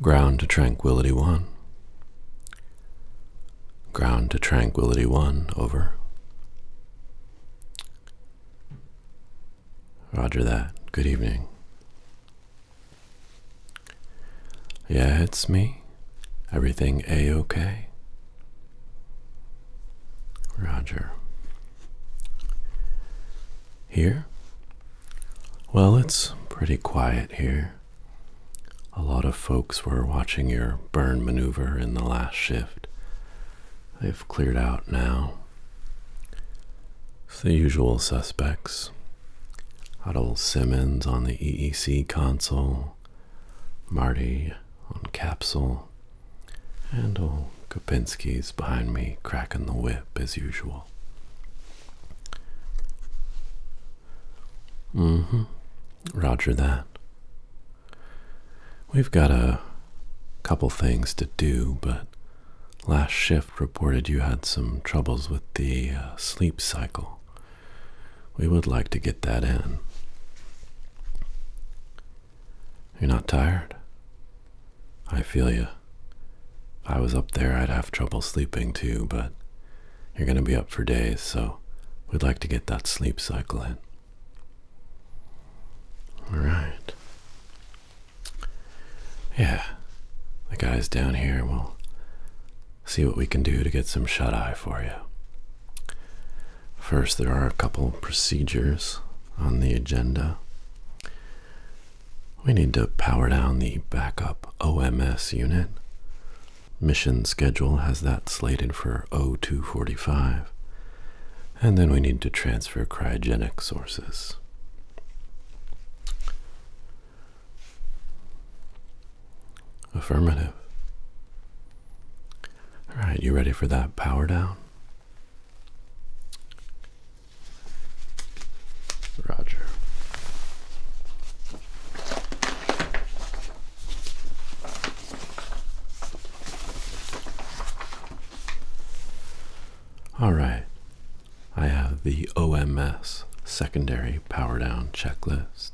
Ground to tranquility one. Ground to tranquility one, over. Roger that. Good evening. Yeah, it's me. Everything a-okay? Roger. Here? Well, it's pretty quiet here. A lot of folks were watching your burn maneuver in the last shift. They've cleared out now. It's the usual suspects. Huddle Simmons on the EEC console, Marty on capsule, and old Kopinski's behind me cracking the whip as usual now. Mm hmm. Roger that. We've got a couple things to do, but last shift reported you had some troubles with the uh, sleep cycle. We would like to get that in. You're not tired? I feel you. If I was up there, I'd have trouble sleeping too, but you're going to be up for days, so we'd like to get that sleep cycle in. All right. Yeah, the guys down here will see what we can do to get some shut eye for you. First, there are a couple procedures on the agenda. We need to power down the backup OMS unit. Mission schedule has that slated for 0245. And then we need to transfer cryogenic sources. Affirmative. All right, you ready for that power down? Roger. All right, I have the OMS secondary power down checklist.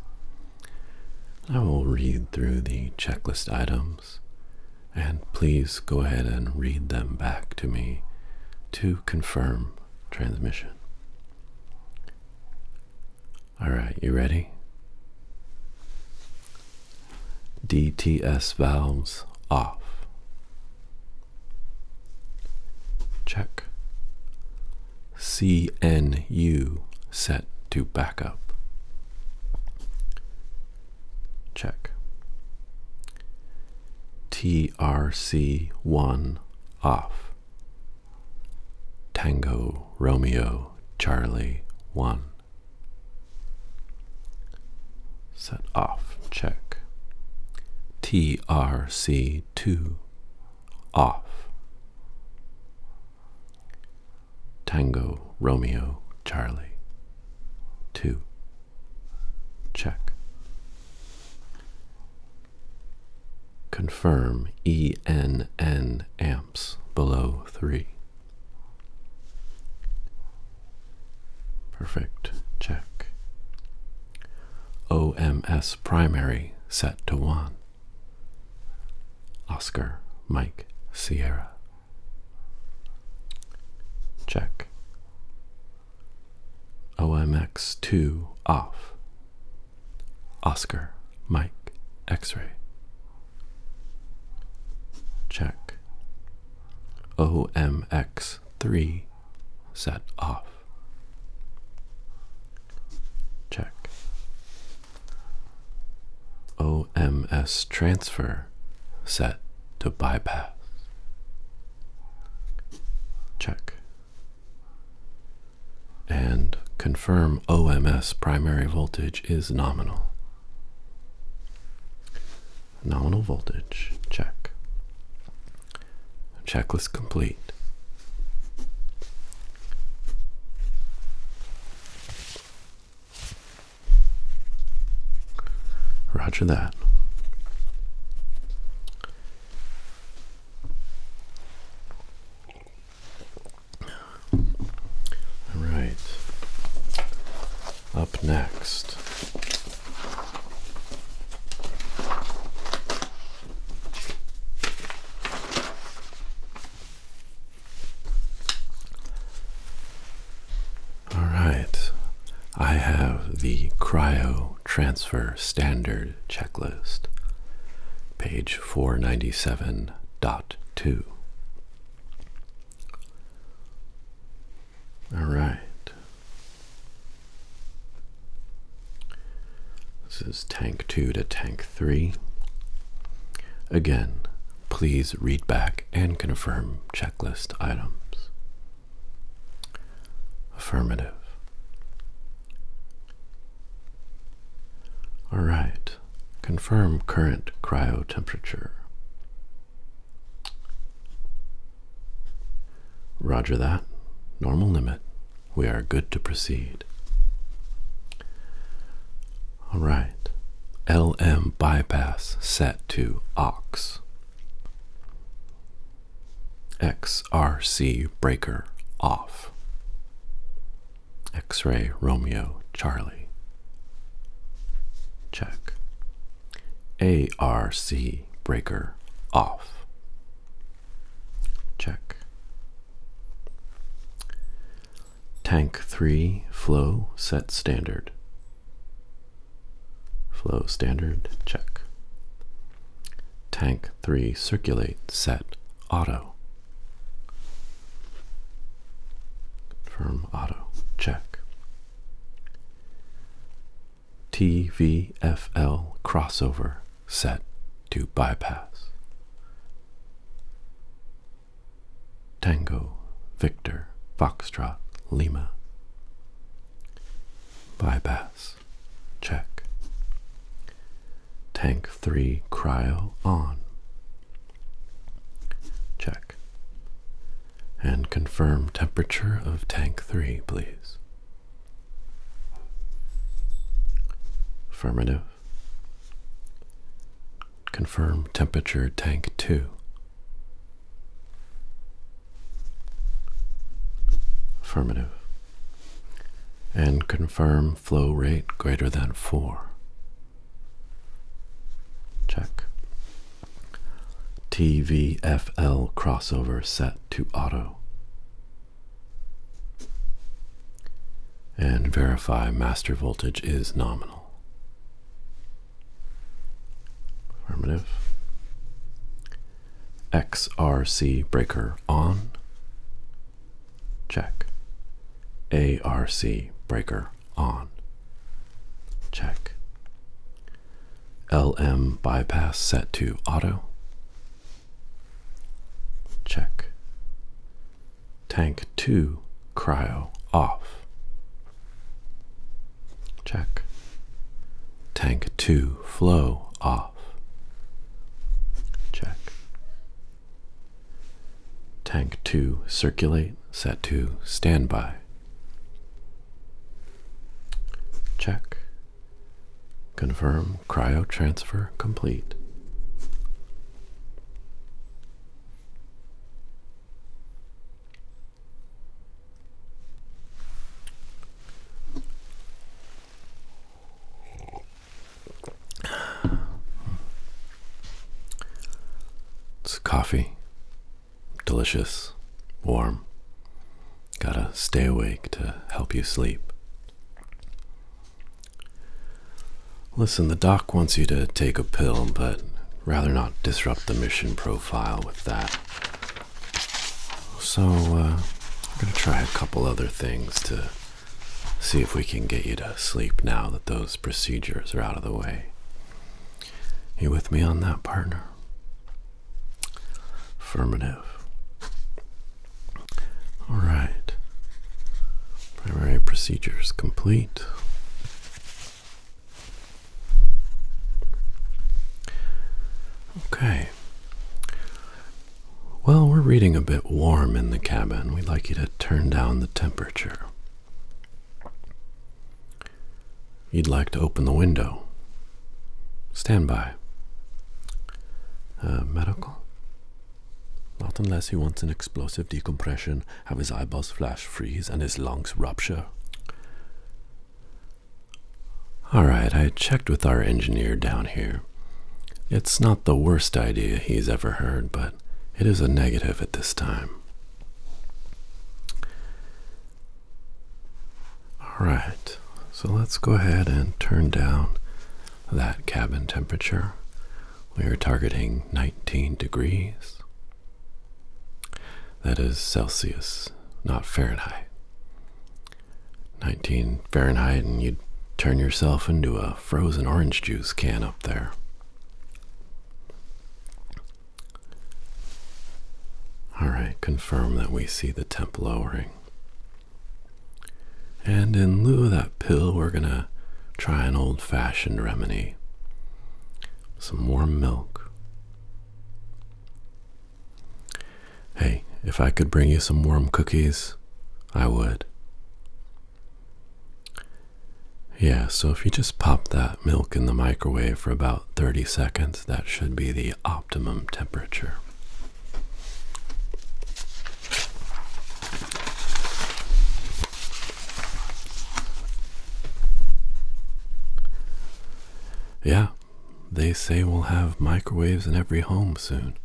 I will read through the checklist items and please go ahead and read them back to me to confirm transmission. All right, you ready? DTS valves off. Check. CNU set to backup. Check. TRC1 off. Tango Romeo Charlie 1. Set off. Check. TRC2 off. Tango Romeo Charlie 2. Check. Confirm ENN amps below 3. Perfect. Check. OMS primary set to 1. Oscar Mike Sierra. Check. OMX2 off. Oscar, Mike, X ray. Check. OMX3 set off. Check. OMS transfer set to bypass. Check. And confirm OMS primary voltage is nominal. Nominal voltage, check. Checklist complete. Roger that. All right. Up next. All right, I have the cryo transfer standard checklist, page 497.2. All right. This is tank 2 to tank 3. Again, Please read back and confirm checklist items. Affirmative. All right. Confirm current cryo temperature. Roger that. Normal limit. We are good to proceed. All right. LM bypass set to aux. XRC breaker off. X-ray Romeo Charlie. Check. ARC breaker off. Check. Tank 3 flow set standard. Flow standard check. Tank 3 circulate set auto. Confirm auto check. TVFL crossover set to bypass. Tango, Victor, Foxtrot, Lima. Bypass, check. Tank 3 cryo on. Check. And confirm temperature of tank 3, please. Affirmative. Confirm temperature tank 2. Affirmative. And confirm flow rate greater than 4. Check. TVFL crossover set to auto and verify master voltage is nominal. Affirmative. XRC breaker on. Check. ARC breaker on. Check. LM bypass set to auto. Check tank 2 cryo off. Check. Tank 2 flow off. Check. Tank 2 circulate set to standby. Check. Confirm cryo transfer complete. It's coffee. Delicious. Warm. Gotta stay awake to help you sleep. Listen, the doc wants you to take a pill, but rather not disrupt the mission profile with that. So, uh, I'm going to try a couple other things to see if we can get you to sleep now that those procedures are out of the way. You with me on that, partner? Affirmative. All right. Primary procedures complete. Okay. Well, we're reading a bit warm in the cabin. We'd like you to turn down the temperature. You'd like to open the window. Stand by. Uh, medical? Not unless he wants an explosive decompression, have his eyeballs flash freeze, and his lungs rupture. Alright, I checked with our engineer down here. It's not the worst idea he's ever heard, but it is a negative at this time. Alright, so let's go ahead and turn down that cabin temperature. We are targeting 19 degrees. That is Celsius, not Fahrenheit. 19 Fahrenheit, and you'd turn yourself into a frozen orange juice can up there. All right, confirm that we see the temp lowering. And in lieu of that pill, we're going to try an old fashioned remedy some warm milk. Hey, if I could bring you some warm cookies, I would. Yeah, so if you just pop that milk in the microwave for about 30 seconds, that should be the optimum temperature. Yeah, they say we'll have microwaves in every home soon.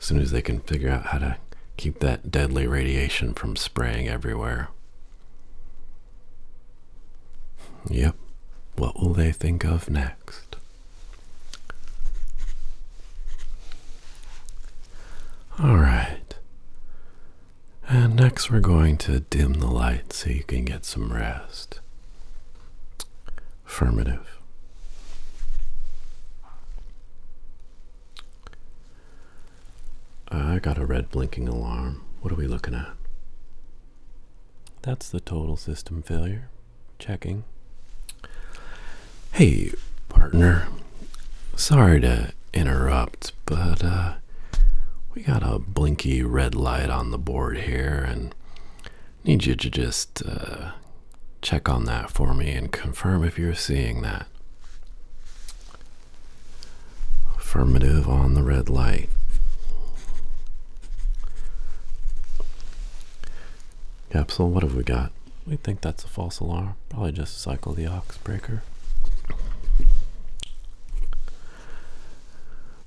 As soon as they can figure out how to keep that deadly radiation from spraying everywhere. Yep, what will they think of next? All right. And next, we're going to dim the light so you can get some rest. Affirmative. I got a red blinking alarm. What are we looking at? That's the total system failure. Checking. Hey, partner. Sorry to interrupt, but uh, we got a blinky red light on the board here, and need you to just uh, check on that for me and confirm if you're seeing that. Affirmative on the red light. Capsule, what have we got? We think that's a false alarm. Probably just cycle the ox breaker.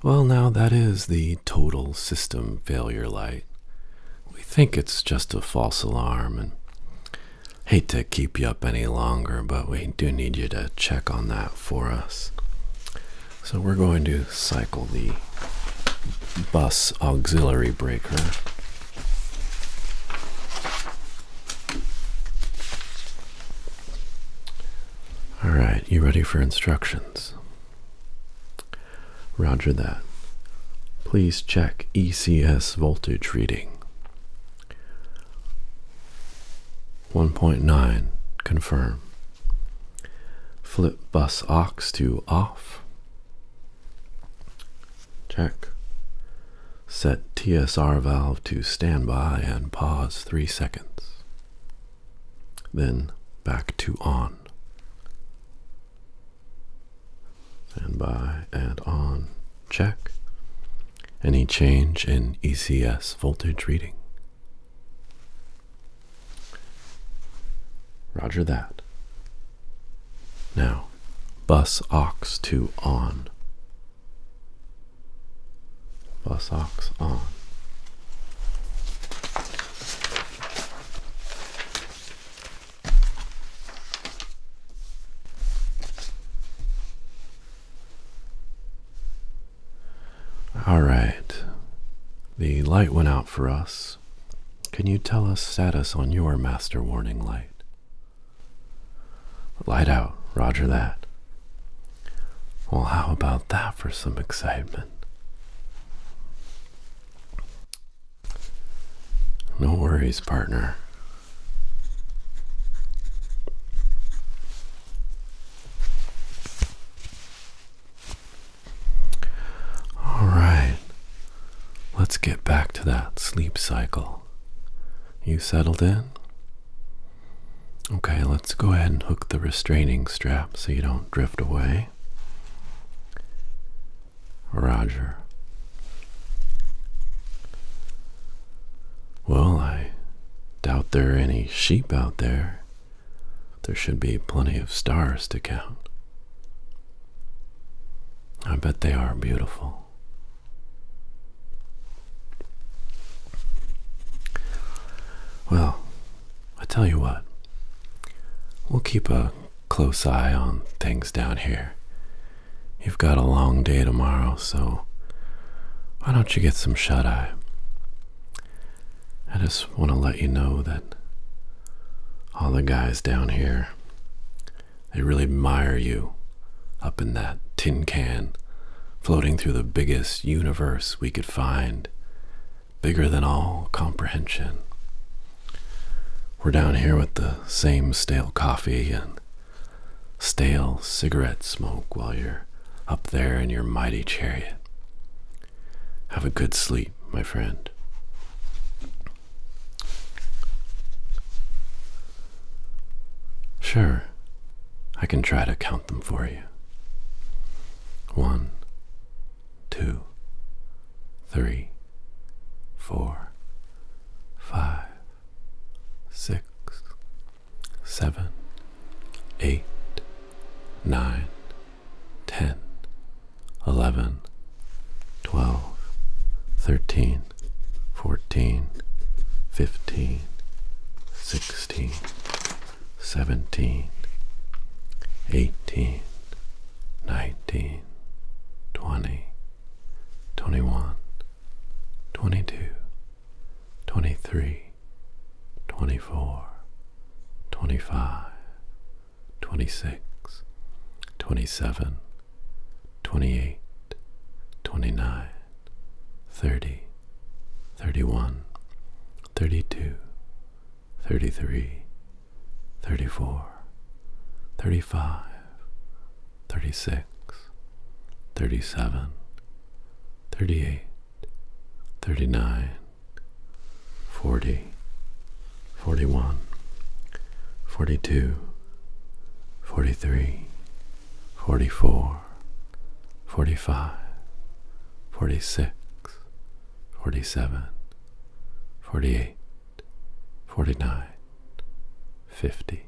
Well, now that is the total system failure light. We think it's just a false alarm and hate to keep you up any longer, but we do need you to check on that for us. So we're going to cycle the bus auxiliary breaker. All right, you ready for instructions? Roger that. Please check ECS voltage reading. 1.9 confirm. Flip bus aux to off. Check. Set TSR valve to standby and pause 3 seconds. Then back to on. Standby and on. Check. Any change in ECS voltage reading? Roger that. Now, bus ox to on. Bus ox on. All right. The light went out for us. Can you tell us status on your master warning light? Light out, roger that. Well, how about that for some excitement? No worries, partner. All right, let's get back to that sleep cycle. You settled in? Okay, let's go ahead and hook the restraining strap so you don't drift away. Roger. Well, I doubt there are any sheep out there. There should be plenty of stars to count. I bet they are beautiful. Well, I tell you what, we'll keep a close eye on things down here. You've got a long day tomorrow, so why don't you get some shut eye? I just want to let you know that all the guys down here, they really admire you up in that tin can, floating through the biggest universe we could find, bigger than all comprehension. We're down here with the same stale coffee and stale cigarette smoke while you're up there in your mighty chariot. Have a good sleep, my friend. Sure, I can try to count them for you. One, two, three, four, five, six, seven, eight, nine, ten, eleven, twelve, thirteen, fourteen, fifteen, sixteen, seventeen, eighteen, nineteen, twenty, twenty-one, twenty-two. Twenty-three, twenty-four, twenty-five, twenty-six, twenty-seven, twenty-eight, twenty-nine, thirty, thirty-one, thirty-two, thirty-three, thirty-four, thirty-five, thirty-six, thirty-seven, thirty-eight. 39, 40, 41, 42, 43, 44, 45, 46, 47, 48, 49, 50.